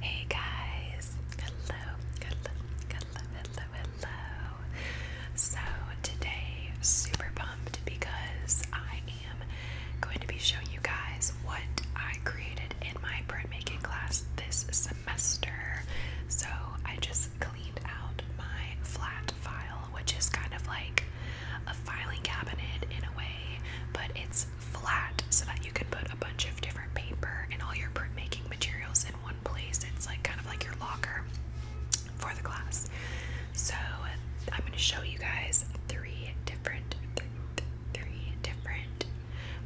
Hey guys, hello, hello, hello, hello, hello. So, today, super pumped because I am going to be showing you guys what I created in my bread making class this semester. So, I just cleaned out my flat file, which is kind of like a filing cabinet in a way, but it's flat so that you can put a bunch of different paper and all your printmaking materials in one place. It's like kind of like your locker for the class. So I'm going to show you guys three different three different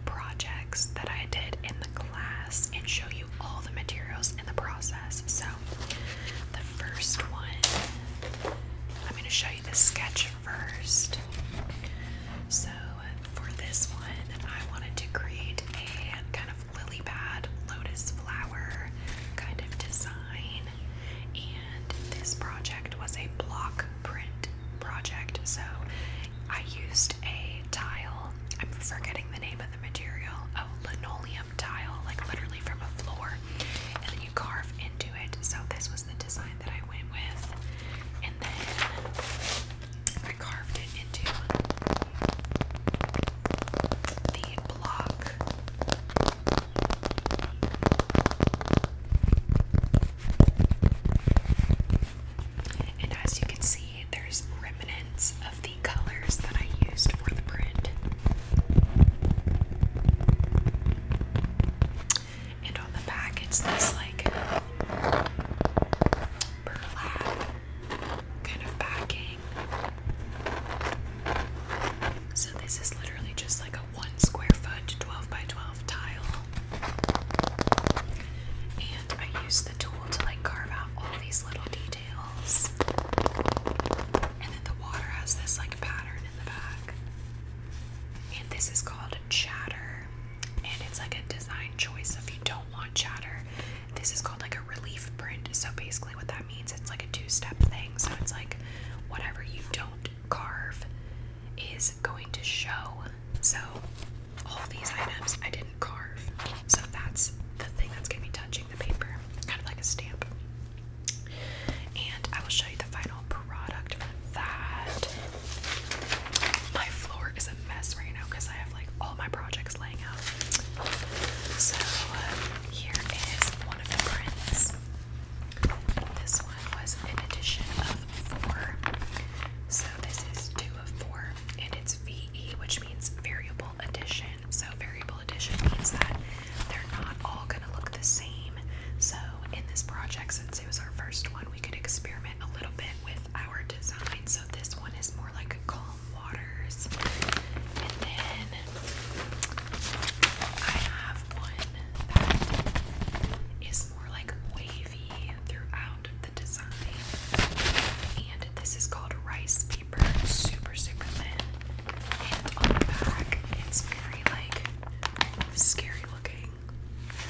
projects that I did in the class and show you all the materials in the process. So the first one I'm going to show you the sketch first. So for this one, I wanted to create a kind of lily pad lotus flower kind of design. And this project was a block print project. So I used a tile. I'm forgetting the name of the material. Oh, linoleum tile, like literally from a floor. And then you carve into it. So this was the design that I and as you can see, there's remnants of the colors that I used for the print. And on the back, it's this like burlap kind of backing. So this is literally just like a one square foot 12 by 12 tile. And I use the tool to like carve out all these little details. And then the water has this like pattern in the back. And this is called chatter and it's like a design choice So if you don't want chatter this is called like a relief print so basically what that means it's like a two-step thing so it's like whatever you don't carve is going to show so all these items I didn't carve so that's the thing that's going to be touching the paper kind of like a stamp and I will show you the final product for that. My floor is a mess right now because I have like all my projects laying out. So uh, here is one of the prints. This one was an edition of four. So this is two of four, and it's VE, which means variable edition. So variable edition means that they're not all gonna look the same. So, in this project, since it was our first one, we could experiment a little bit with our design. So, this one is more like calm waters. And then I have one that is more like wavy throughout the design. And this is called rice paper, super, super thin. And on the back, it's very like scary looking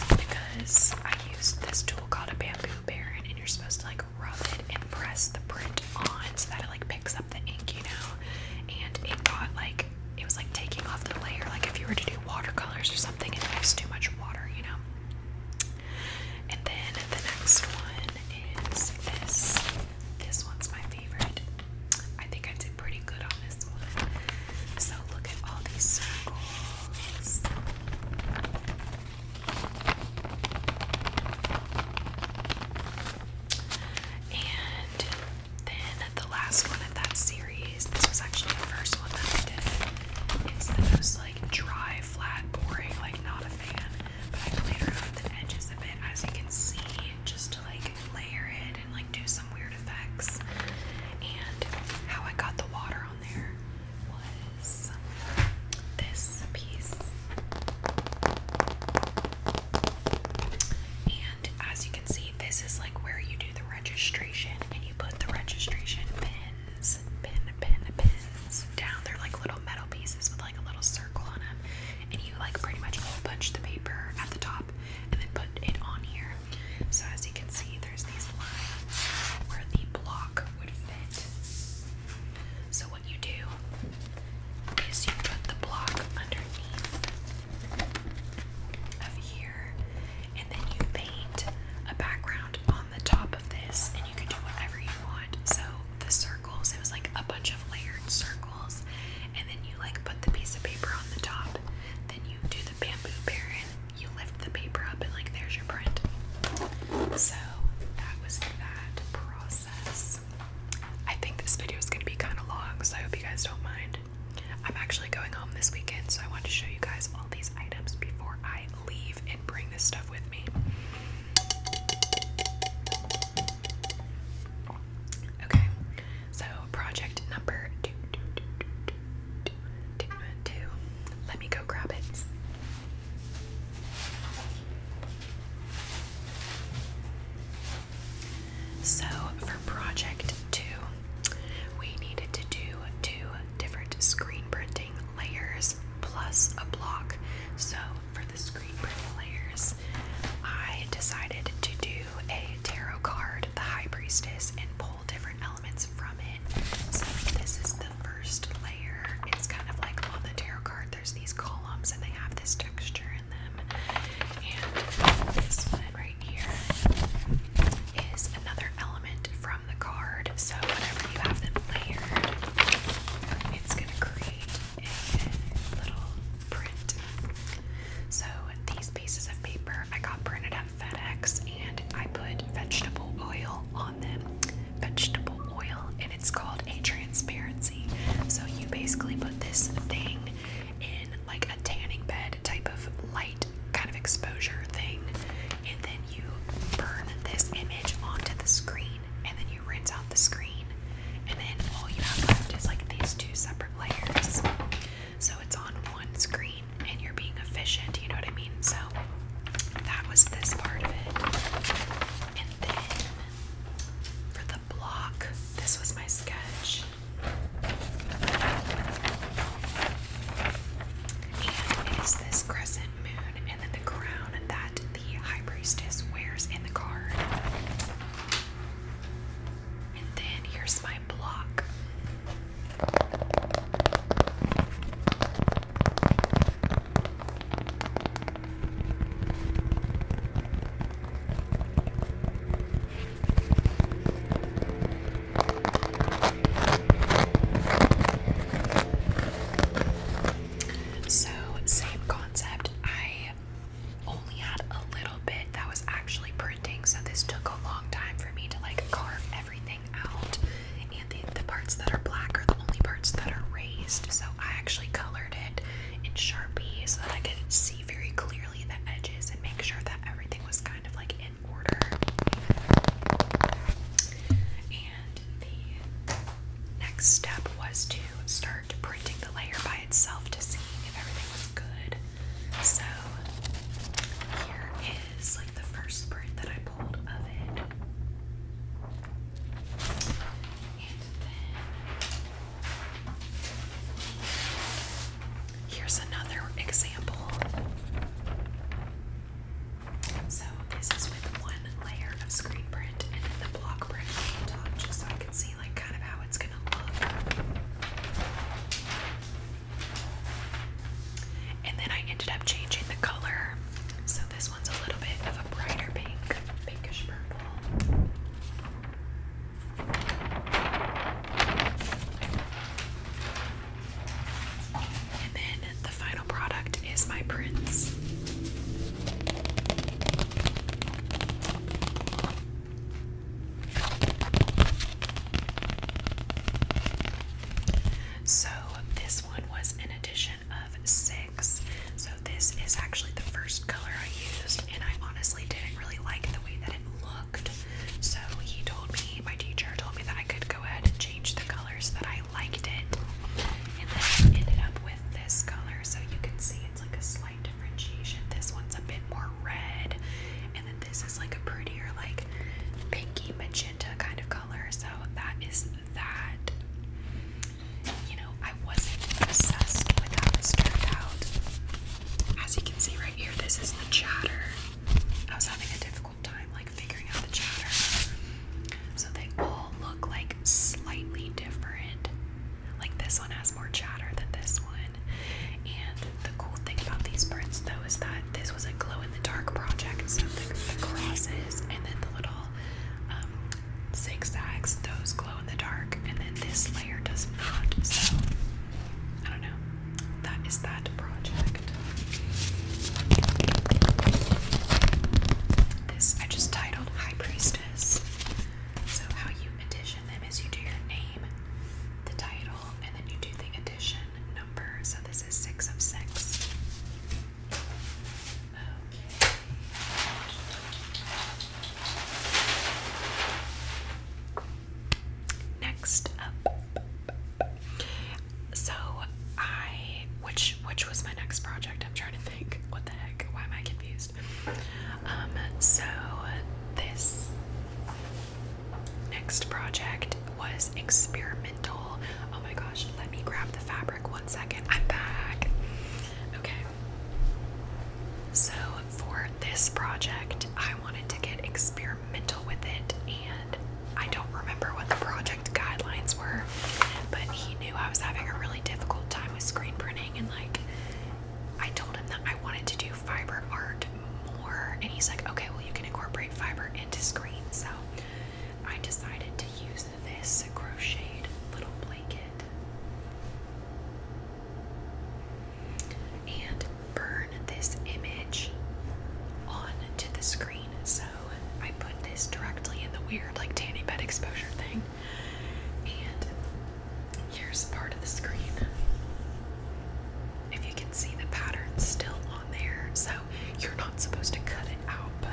because I used this tool called a bamboo baron, and you're supposed to like rub it and press the print on so that it like picks up the ink, you know. And it got like it was like taking off the layer, like if you were to do watercolors or something, and it was too much water, you know. And then the next one is this. This one's my favorite. I think I did pretty good on this one. So look at all these circles. And then the last one of that series, this was actually the first one that I did. It's the most like dry, flat, boring, like not a fan. But I played around the edges of it as you can see, just to like layer it and like do some weird effects. And how I got the water on there was this piece. And as you can see, this is like where you do the registration and you put the registration pins, pin, pin, pins down. They're like little metal pieces with like a little circle on them. And you like pretty much hole punch the paper at the top and then put it on here. So as you can see, there's these lines where the block would fit. So what you do is you put the block underneath of here and then you paint a background on the top of this and you can do whatever you want. So the circles, it was like a bunch of layered circles and then you like put the piece of paper on the top. Then you do the bamboo baron, you lift the paper up and like there's your print. So that was that process. I think this video is gonna be kind of long, so I hope you guys don't mind. I'm actually going home this weekend, so I want to show you guys all these items before I leave and bring this stuff with me. Okay, so, project number two, two, two, two, two, two, two. Let me go grab it. So, for project two, we needed to do two different screen printing layers plus a block. So, for the screen printing layers, I decided to do a tarot card, the High Priestess, and pull different elements from it. So this is the first layer. It's kind of like on the tarot card, there's these columns and they have this texture in them. And this one right here is another element from the card. So whenever you have them layered, it's gonna create a little print. So these pieces of paper I got printed at FedEx and I put vegetable oil on them. Vegetable oil and it's called a transparency. So you basically put this thing in like a tanning bed type of light kind of exposure thing and then you burn this image onto the screen and then you rinse out the screen and then all you have left is like these two separate layers so it's on one screen and you're being efficient, you know what I mean? So that was this part of it. And then for the block, this was my sketch. And it is this crescent moon and then the crown that the high priestess wears in the card. And then here's my block. So, same concept. I only had a little bit that was actually printing, so this took a long time for me to like carve everything out. And the, the parts that are black are the only parts that are raised, so I actually colored it in Sharpie so that I could see very clearly the edges and make sure that everything was kind of like in order. And the next step was to start printing the layer by itself to see if everything was good. So here is like the first print that I pulled of it. And then here's another example. So this is with one layer of screen print and then the block print on top just so I can see and then I ended up changing the color. So this one's a little bit of a brighter pink, pinkish purple. And then the final product is my prints. So, this one was an addition of six. So, this is actually the first color I used, and I honestly didn't really like the way that it looked. So, he told me, my teacher told me that I could go ahead and change the colors that I liked it, and then I ended up with this color. So, you can see it's like a differentiation. This one's a bit more red, and then this is like a prettier, like pinky magenta kind of color. So that is that. You know, I wasn't obsessed with how this turned out. As you can see right here, this is the chatter. I was having a difficult time like figuring out the chatter. So they all look like slightly different. Like this one has more chatter than this one. And the cool thing about these prints, though, is that this was a glow in the dark project. So the, crosses and then the little um, zigzags, those glow in the dark. And then this layer does not. So I don't know. That is that project. This I just titled High Priestess. So, how you petition them is you do your name the title, and then you do the edition number. So this is six of six. Next up. So I which which was my next project? I'm trying to think. What the heck? Why am I confused? Um, so this next project was experimental. Oh my gosh, let me grab the fabric one second. I'm back. Okay. So for this project, I wanted to get experimental with it and I don't remember what the project guidelines were, but he knew I was having a really difficult time with screen printing and like I told him that I wanted to do fiber art more, and he's like, okay, well, you can incorporate fiber into screen. So I decided to use this crocheted little blanket and burn this image onto the screen. So I put this directly in the weird, like, tanning bed exposure thing. And here's part of the screen. If you can see the pattern's still on there, so you're not supposed to cut it out, but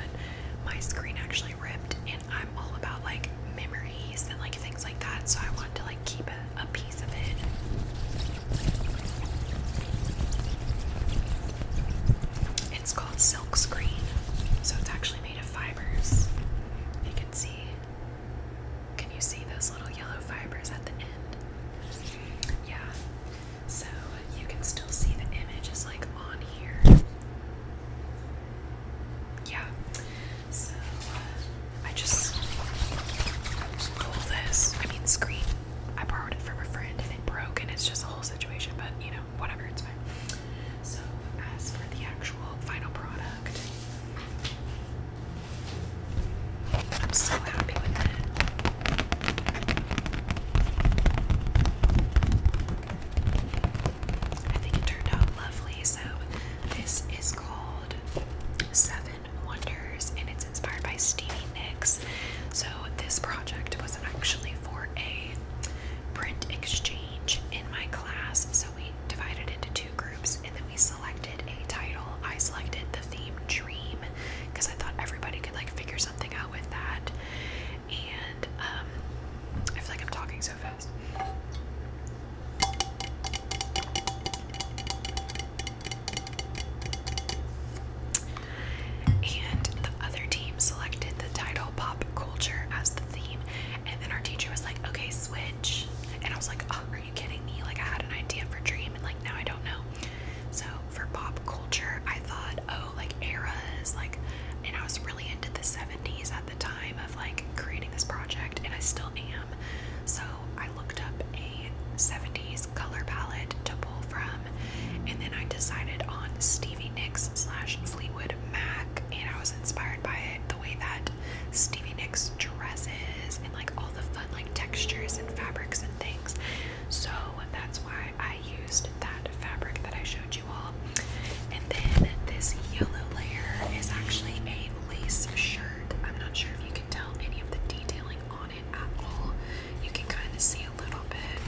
my screen actually ripped and I'm all about like memories and like things like that, so I wanted to like keep a piece of it. It's called silk screen, so it's actually made of fibers. You can see can you see those little yellow fibers at the end? Yeah. So you can still see the image is like on here. Yeah. So uh, I just stole this. I mean, screen. I borrowed it from a friend and it broke, and it's just a whole situation, but you know, whatever, it's fine. So, as for the actual final product, I'm so happy with that. I think it turned out lovely. So, this is called Seven Wonders and it's inspired by Stevie Nicks. So, this project wasn't actually for a print exchange in my class. So, we divided into two groups and then we selected a title. I selected the theme Dream because I thought everybody could like figure something out with that. And um, I feel like I'm talking so fast. And the other team selected the title Pop Culture as the theme. And then our teacher was like, okay, switch and I was like, oh, are you kidding me? Like I had an idea for dream and like now I don't know. So for pop culture, I thought, oh, like eras, like and I was really into the 70s at the time of like creating this project and I still am. So I looked up a 70s color palette to pull from and then I decided on Stevie Nicks slash Fleetwood Mac and I was inspired by it the way that Stevie Nicks dresses and like all the fun like textures and fabrics and things. So that's why I used that fabric that I showed you all. And then this yellow layer is actually a lace shirt. I'm not sure if you can tell any of the detailing on it at all. You can kind of see a little bit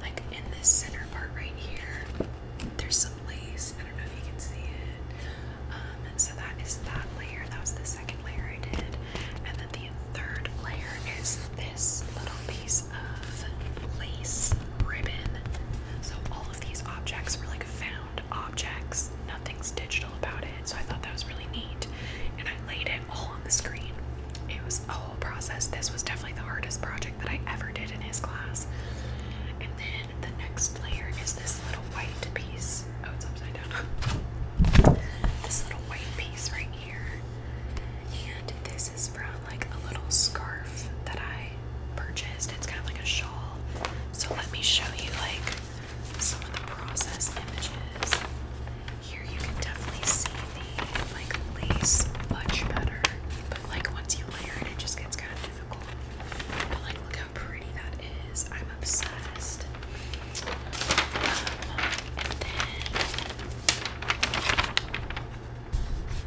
like in this center part right here there's some lace. I don't know if you can see it. Um, so that is that layer. That was the second layer I did. And then the third layer is this little piece of lace ribbon. So all of these objects were like found objects. Nothing's digital about it. So I thought that was really neat. And I laid it all on the screen. It was a whole process. This was definitely the hardest project that I ever did in his class. And then the next layer is this little white piece. Oh, it's upside down. this little white piece right here. And this is from like a little scarf that I purchased. It's kind of like a shawl. So let me show you like some of the process images. Here you can definitely see the like lace much better like once you layer it, it just gets kind of difficult. But like, look how pretty that is. I'm obsessed. Um,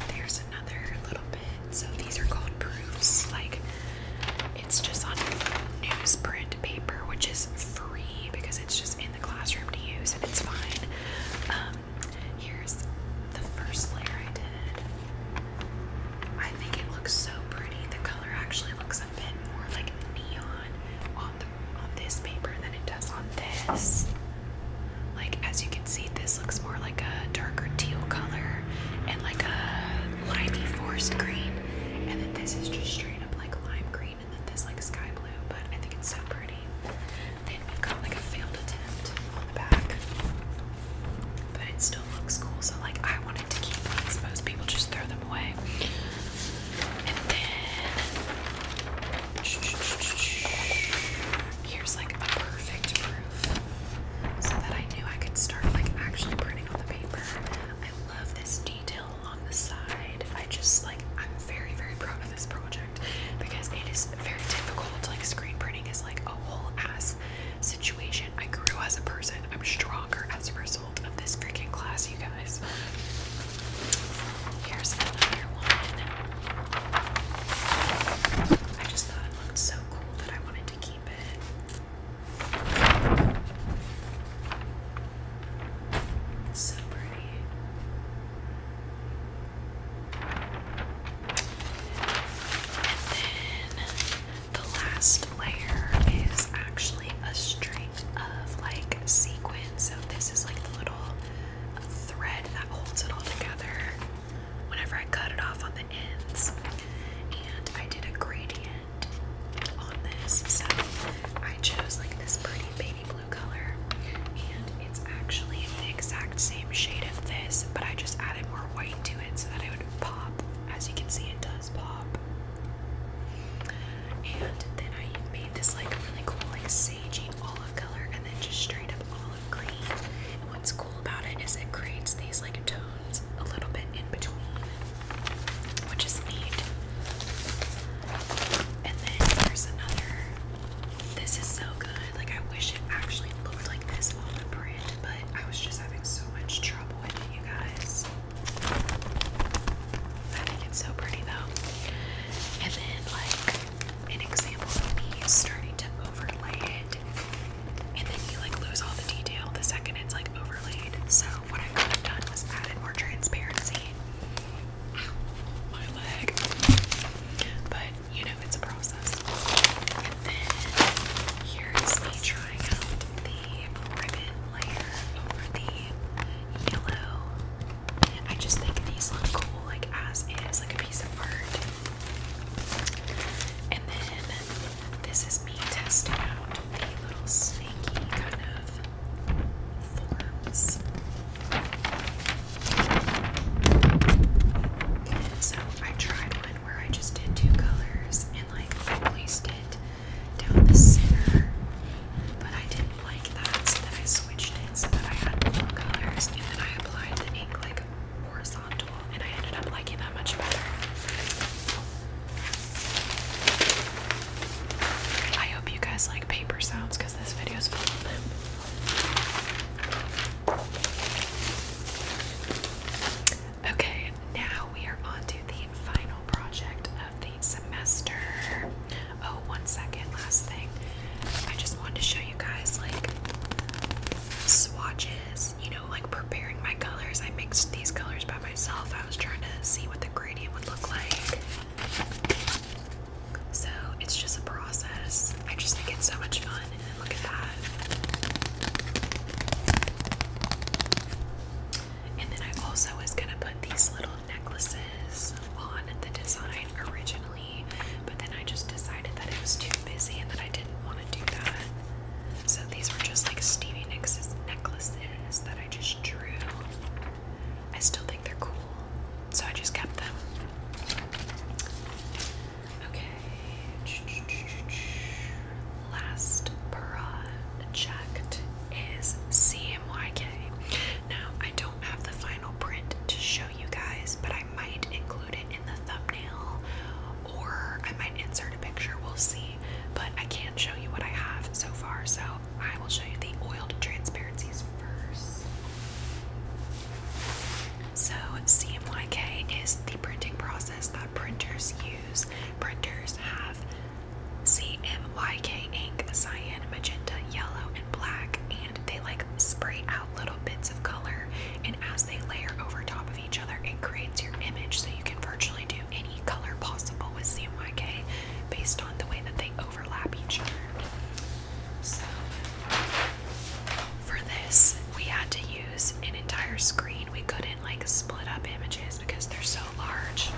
then there's another little bit. So these are called proofs. Like, it's just on newsprint paper, which is free because it's just in the classroom to use and it's fine. Um, um, here's the first layer I did. I think it looks so pretty. The color actually looks a bit more like neon on the on this paper than it does on this. Like as you can see, this looks more like a darker teal color and like a limey forest green, and then this is just straight up like lime green, and then this like sky blue. But I think it's so pretty. Then we've got like a failed attempt on the back. But it still looks cool, so like I wanted to keep these. Most people just throw them away. And then here's like a perfect proof. So that I knew I could start like actually printing on the paper. I love this detail on the side. I just like I'm very, very proud of this project because it is very difficult. Like screen printing is like a whole ass situation. I grew as a person. I'm stronger as a result of this freaking class, you guys. Here's another one. I just thought it looked so cool that I wanted to keep it. So pretty. And then the last layer is actually a string of like sequins. So this is like the little thread that holds it all together whenever I cut it off on the ends. And I did a gradient on this. I chose like this pretty baby blue color. It's actually the exact same shade of this, but I just added more white to it so that it would pop. As you can see, it does pop. And then I made this like really cool, like sagey olive color, and then just straight up olive green. what's cool about it is it creates these like tones a little bit in between, which is neat. And then there's another. This is so good. Like I wish it actually looked like this on the print, but I was just having so much trouble with it, you guys. I think it's so pretty though. And then like an example of me starting to overlay it. And then you like lose all the detail the second it's like overlaid. So what I could have done was added more transparency. my leg. But you know, it's a process. here is me trying out the ribbon layer over the yellow. I just think these look cool, like as is, like a piece of art. And then this is me testing out the little snaky kind of forms. So I tried one where I just did two colors and like I placed it down the center, but I didn't like that, so then I switched it so that I had more colors and then I applied the ink like horizontal and I ended up liking that much better. I hope you guys like paper sounds because this video is full of them. Okay, now we are on the final project of the semester. Oh, one second, last thing. I just wanted to show you guys like swatches, you know, like preparing my colors. I mixed these colors by myself. I was trying to see what the gradient would look like. So it's just a process. I just think it's so much fun, and then look at that. And then I also was gonna put these little necklaces on the design originally, but then I just decided that it was too busy and that I didn't want to do that. So these were just like Stevie Nicks' necklaces that I just drew. I still think they're cool so I just kept them. Okay. Last project is CMYK. Now, I don't have the final print to show you guys, but I might include it in the thumbnail or I might insert a picture. We'll see. But I can not show you what I have so far, so I will show you the oiled transparencies first. So, CMYK is the printing process that printers use. Printers have CMYK ink, cyan, magenta, yellow, and black, and they like spray out little bits of color. And as they layer over top of each other, it creates your image. So, you can virtually do any color possible with CMYK based on the way that they overlap each other. So for this, we had to use an entire screen. We couldn't like split up images because they're so large.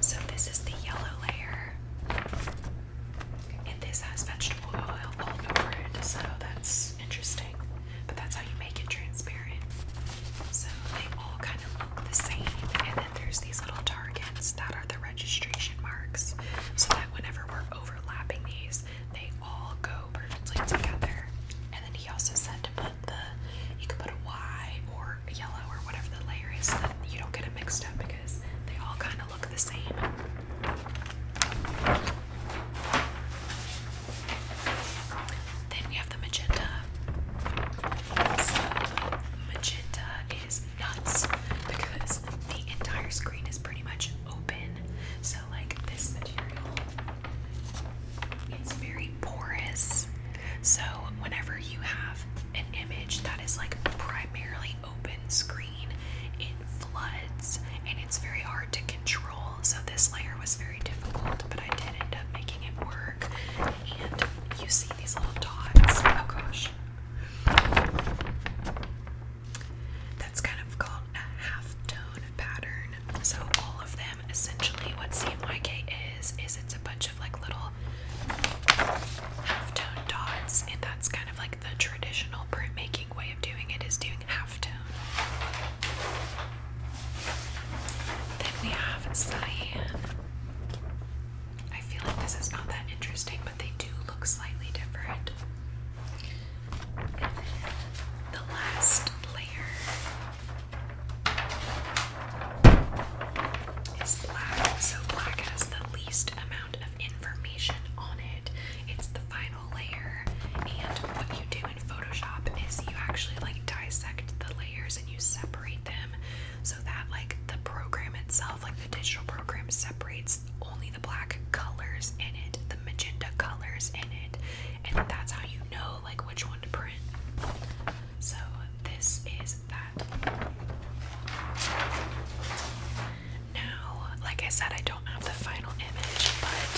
So this is the yellow layer. And this has vegetable oil all over it, so that's interesting. But that's how you make it transparent. So they all kind of look the same, and then there's these little targets that are the registration marks so that whenever we're overlapping these, they all go perfectly together. And then he also said to put the, you can put a Y or a yellow or whatever the layer is so that you don't get it mixed up because they all kind of look the same. Then we have the magenta. magenta is nuts because the entire screen is pretty much open. So, like this material, it's very porous. So, whenever you have an image that is like primarily open screen, it floods and it's very hard to control. So, this layer was very difficult, but I did end up making it work. And you see these little dots. Oh gosh. That's kind of called a half-tone pattern. So all of them, essentially, what CMYK is, is it's a bunch of like little half-tone dots, and that's kind of like the traditional printmaking way of doing it is doing half-tone. Then we have cyan. I feel like this is not that interesting, slightly different. the last layer is black. So black has the least amount of information on it. It's the final layer, and what you do in Photoshop is you actually like dissect the layers and you separate them so that like the program itself, like the digital program, separates only the black colors in it, the magenta colors in it, and that's how you know like which one to print. So this is that. Now, like I said, I don't have the final image, but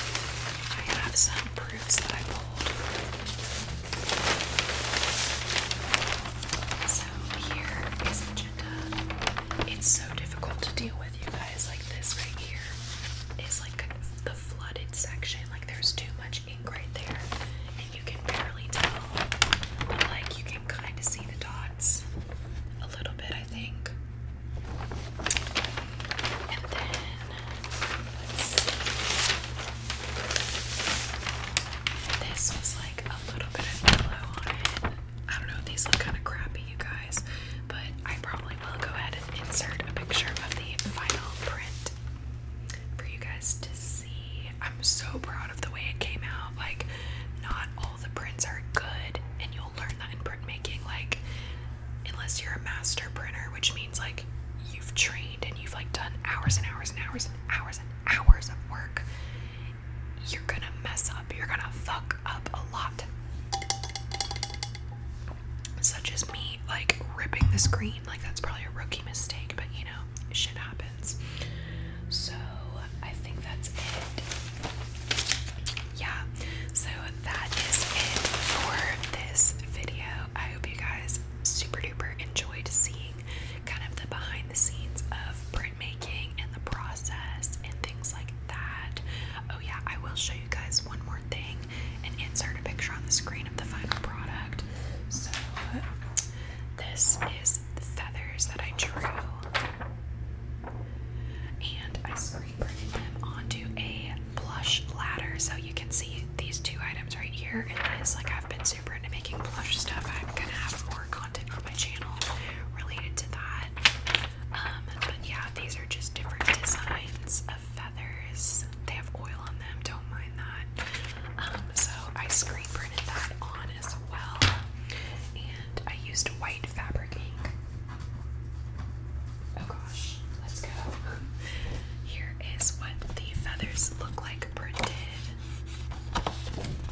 I have some proofs that I pulled. So here is it's so difficult to deal with, you guys. Like this right here is like the flooded section. Like there's too much ink right there, and you can barely tell. But like you can kind of see the dots a little bit, I think. And then This was like a little bit of yellow on it. I don't know, these look kind of crappy, you guys, but I probably will go ahead and insert a picture of the final print for you guys to see. I'm so proud of the way it came out. Like, not all the prints are good, and you'll learn that in printmaking. Like, unless you're a master printer, which means like you've trained and you've like done hours and hours and hours and hours and hours of work you're gonna mess up, you're gonna fuck up a lot. Such as me, like ripping the screen, like that's probably a rookie mistake, but you know, shit happens. So I think that's it. Yeah, so that is it for this video. I hope you guys super duper enjoyed seeing kind of the behind the scenes of making and the process and things like that. Oh, yeah, I will show you guys one more thing and insert a picture on the screen of the final product. So, this is the feathers that I drew, and I screen printed them onto a plush ladder so you can see these two items right here. And this, like I've been super into making plush stuff, I'm gonna have more content on my channel related to that. Um, but yeah, these are just different designs of feathers. They have oil on them, don't mind that. Um, so I screen printed that on as well, and I used white fabric ink. Oh gosh, let's go. Here is what the feathers look like printed.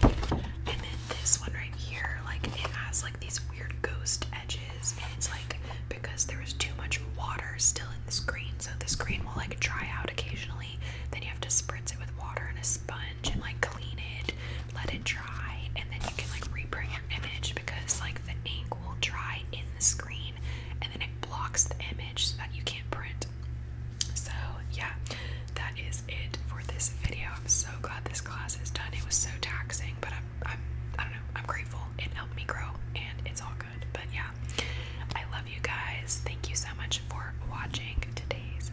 And then this one right here, like it has like these weird ghost edges, and it's like because there was too much water still in the screen, so the screen will like dry out occasionally. Then you have to spritz it with water and a sponge and like clean it, let it dry, and then you can like reprint your image because like the ink will dry in the screen and then it blocks the image so that you can't print so, yeah, that is it for this video. I'm so glad this class is done. It was so taxing, but I'm, I'm, I don't know, I'm grateful. It helped me grow and it's all good. But yeah, I love you guys. Thank you so much for watching today's,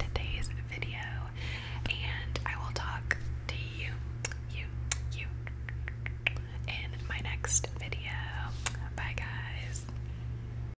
today's video. And I will talk to you, you, you in my next video. Bye, guys.